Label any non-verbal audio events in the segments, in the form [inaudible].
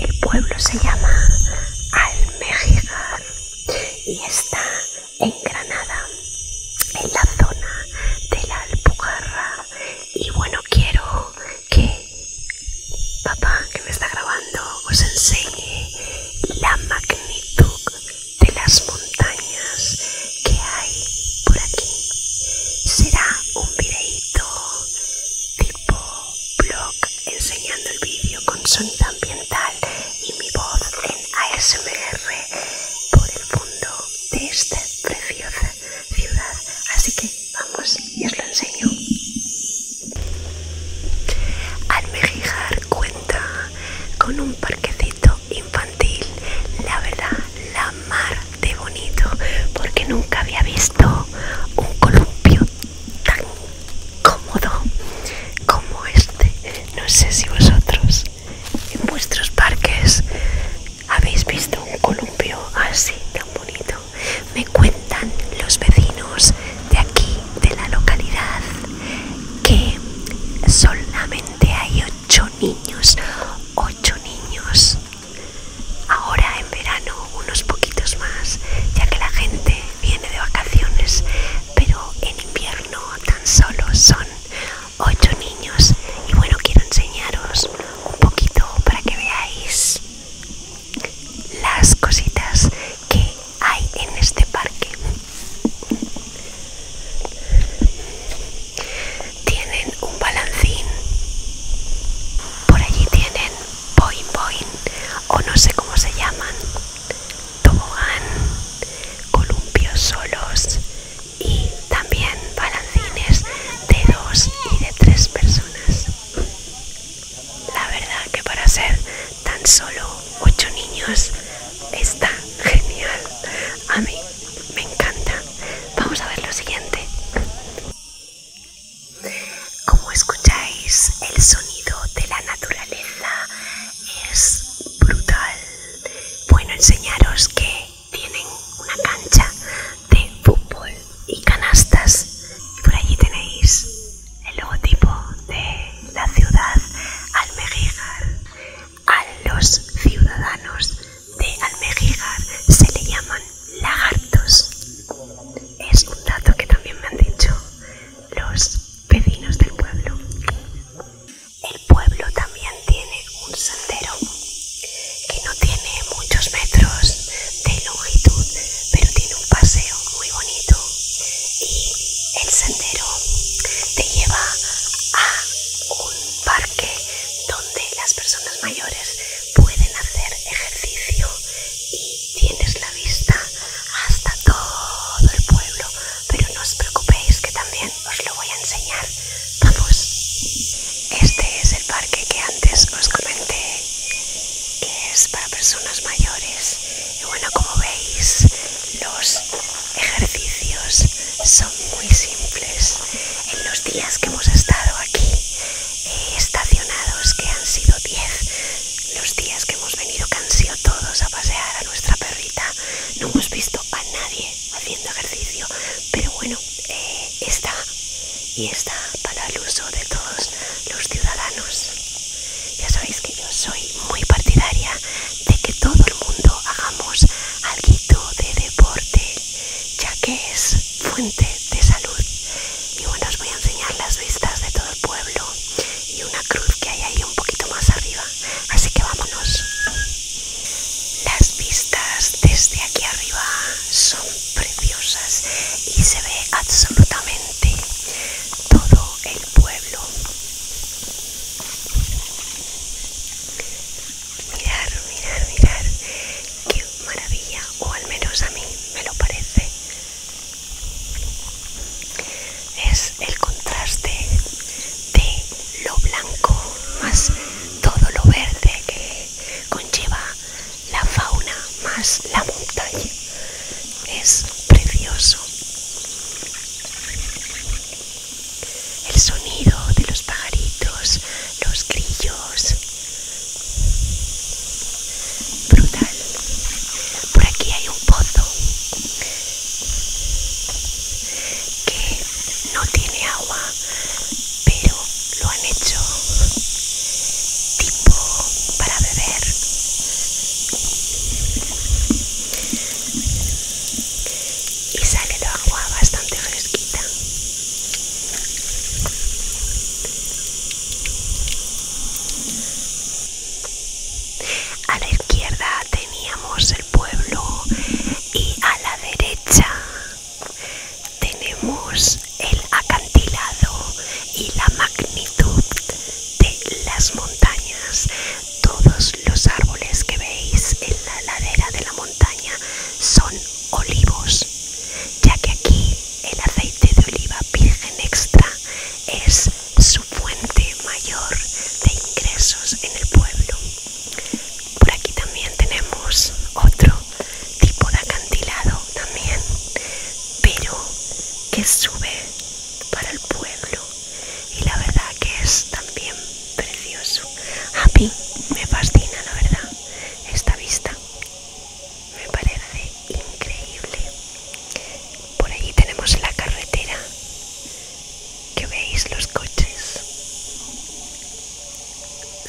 el pueblo se llama Almejigar y está en Granada, en la zona de la Alpujarra. Y bueno, quiero que papá, que me está grabando, os enseñe la magnitud de las montañas que hay por aquí. Será un videíto blog enseñando el vídeo con sonido ambiental y mi voz en ASMR por el fondo de esta preciosa ciudad. Así que vamos y os lo enseño. Almejijar cuenta con un parquecito infantil, la verdad, la mar de bonito porque nunca había visto un columpio tan cómodo como este. No sé si vosotros en vuestros parques habéis visto un columpio así tan bonito. Me cuentan los vecinos de aquí, de la localidad, que solamente hay ocho niños, ocho niños Ahora en verano unos poquitos más, ya que la gente viene de vacaciones, pero en invierno tan solo son 8 niños y bueno, quiero enseñaros un poquito para que veáis las cositas que hay en este parque. Tienen un balancín. Por allí tienen point boing o no sé cómo se llaman tobogán columpios solos y también balancines de dos y de tres personas la verdad que para ser tan solo ocho niños está genial a mí me encanta vamos a ver lo siguiente como escucháis, el sonido de la naturaleza es brutal. Bueno, enseñaros que tienen una cancha de fútbol y canastas. por allí tenéis el logotipo de la ciudad al A los ciudadanos de almejigar se le llaman lagartos. Es un dato que también me han dicho los vecinos del pueblo. El pueblo también tiene un sendero que no tiene muchos metros de longitud, pero tiene un paseo muy bonito y el sendero te lleva a un parque donde las personas mayores pueden hacer ejercicio y tienes la vista hasta todo el pueblo. Pero no os preocupéis que también os lo voy a enseñar. Vamos. Este es el parque que antes os comenté, que es para personas mayores. Y bueno, como veis, los ejercicios son muy simples en los días que hemos estado aquí eh, estacionados, que han sido 10, los días que hemos venido, que todos a pasear a nuestra perrita, no hemos visto a nadie haciendo ejercicio, pero bueno, eh, está y está para el uso de todos los ciudadanos. Ya sabéis que yo soy muy partidaria de que todo el mundo hagamos algo de deporte, ya que es fuente de salud. Y bueno, os voy a enseñar las vistas de todo el pueblo y una cruz que hay ahí un poquito más arriba. Así que vámonos. Las vistas desde aquí arriba son preciosas y se ve absolutamente todo el pueblo. Mirar, mirar, mirar. Qué maravilla. O al menos a mí me lo parece. Es el contraste de lo blanco más todo lo verde que conlleva la fauna más la montaña. Es precioso el sonido de los pajaritos, los grillos. Brutal. Por aquí hay un pozo que no tiene agua, pero lo han hecho tipo para beber. Y sale la agua bastante fresquita. A la izquierda teníamos el pueblo y a la derecha tenemos el acantilado y la magnitud de las montañas. Todos los árboles que veis en la ladera de la montaña son olivos, ya que aquí el aceite de oliva virgen extra es su fuente mayor de ingresos en el pueblo. Por aquí también tenemos otro tipo de acantilado también, pero que sube para el pueblo y la verdad que es también precioso. Happy, me fascina la verdad esta vista. Me parece increíble. Por allí tenemos la carretera que veis los coches.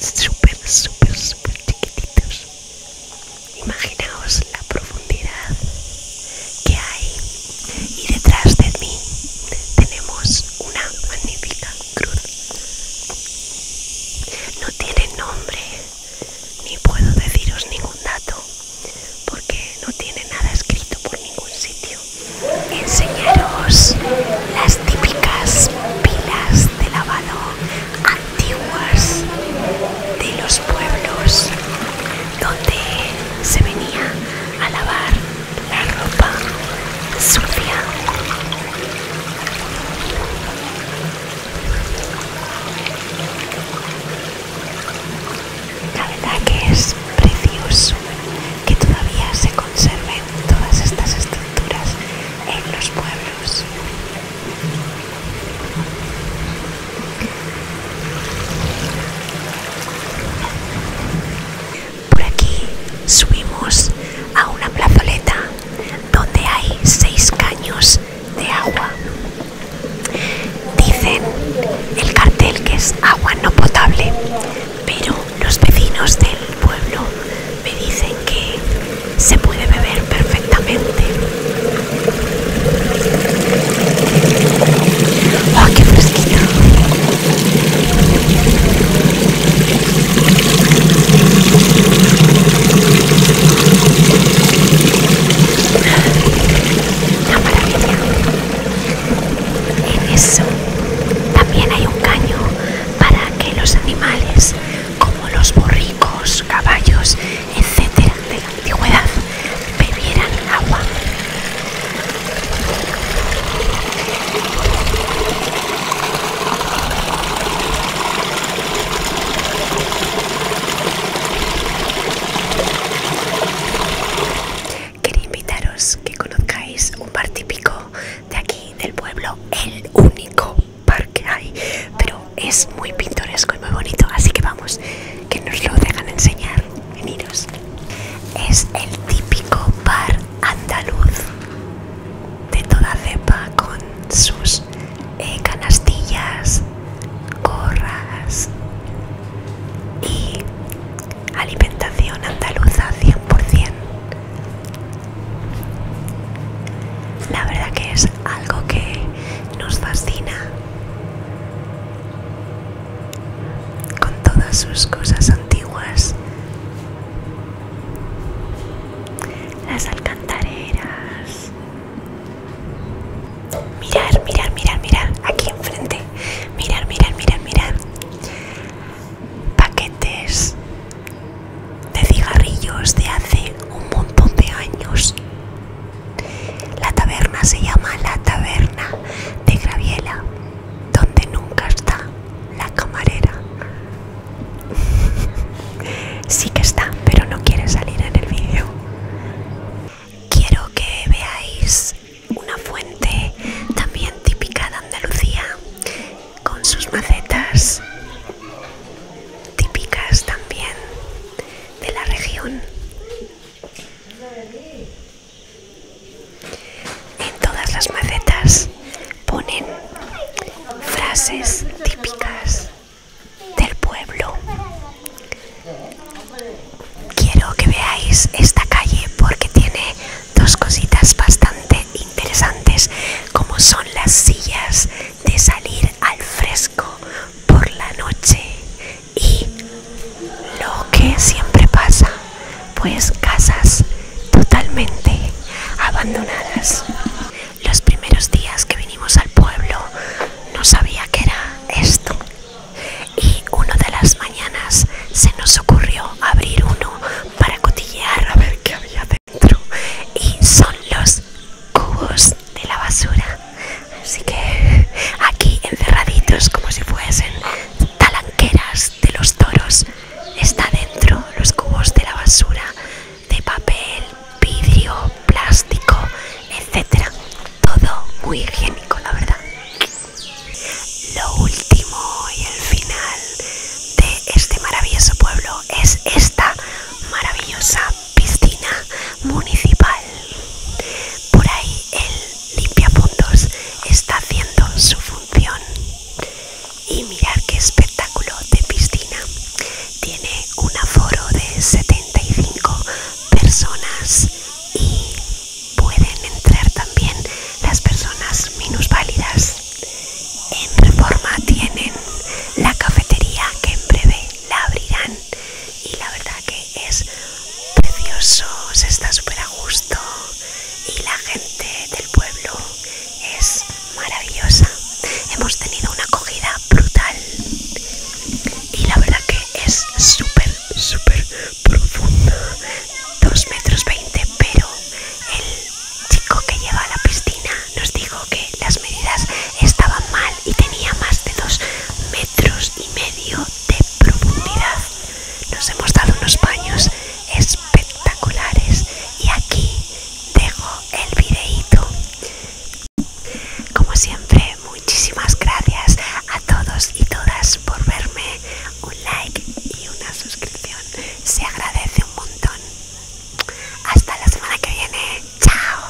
Súper, súper, súper chiquititos. Imaginaos la profundidad que hay. Y detrás de mí tenemos una magnífica cruz. No tiene nombre, ni puedo deciros ningún dato, porque no tiene nada escrito por ningún sitio. Enseñaros las típicas pilas de lavado antiguas de los pueblos donde se venía a lavar la ropa sucia. La verdad que es precioso que todavía se conserven todas estas estructuras en los pueblos. Por aquí subimos a una plazoleta donde hay seis caños de agua. Dicen el cartel que es agua no potable, pero los vecinos del pueblo me dicen que se puede beber perfectamente. ¡Oh, qué fresquito! maravilla. En eso también hay un caño para que los animales, como los borricos, caballos, etcétera, de la antigüedad, bebieran agua. Quería invitaros que conozcáis un par típico de aquí, del pueblo, el único par que hay, pero es muy pintoresco y muy bonito, así que vamos, que nos lo dejan enseñar. Es el típico bar andaluz de toda cepa con sus eh, canastillas, gorras y alimentación andaluza 100%. La verdad que es algo que nos fascina con todas sus cosas antiguas, las alcantareras. Mirar, mirar, mirar, mirar, aquí enfrente. Mirar, mirar, mirar, mirar. Paquetes de cigarrillos de hace un montón de años. La taberna se llama La Taberna de Graviela donde nunca está la camarera. [laughs] sí que está, pero no quiere salir en el vídeo. Quiero que veáis una fuente también típica de Andalucía, con sus macetas típicas también de la región. En todas las macetas ponen frases típicas del pueblo. Quiero que veáis esta calle porque tiene dos cositas bastante interesantes como son las sillas de salir al fresco por la noche y lo que siempre pasa pues casas totalmente abandonadas los primeros días que vinimos al pueblo no sabía que era esto y una de las mañanas se nos ocurrió abrir uno para cotillear a ver qué había dentro y son los cubos de la basura Así que aquí encerraditos como si fuesen talanqueras de los toros. Está dentro los cubos de la basura, de papel, vidrio, plástico, etcétera. Todo muy higiénico, la verdad. Lo último y el final de este maravilloso pueblo es esta maravillosa piscina municipal por ahí el limpiapuntos está haciendo su función. Y mirar qué espectáculo de piscina. Tiene un aforo de 75 personas y pueden entrar también las personas minusválidas. En Reforma tienen la cafetería que en breve la abrirán y la verdad que es precioso, se está súper a gusto y la gente del pueblo es maravillosa. Hemos tenido una acogida brutal y la verdad que es súper, súper profunda, 2 metros 20, pero el chico que lleva la piscina nos dijo que las medidas estaban mal y tenía más de dos metros y medio de profundidad. Nos hemos dado unos baños espectaculares y aquí dejo el videíto. Como siempre, muchísimas gracias a todos y todas por verme. Un like y una suscripción se agradece un montón. Hasta la semana que viene. Chao.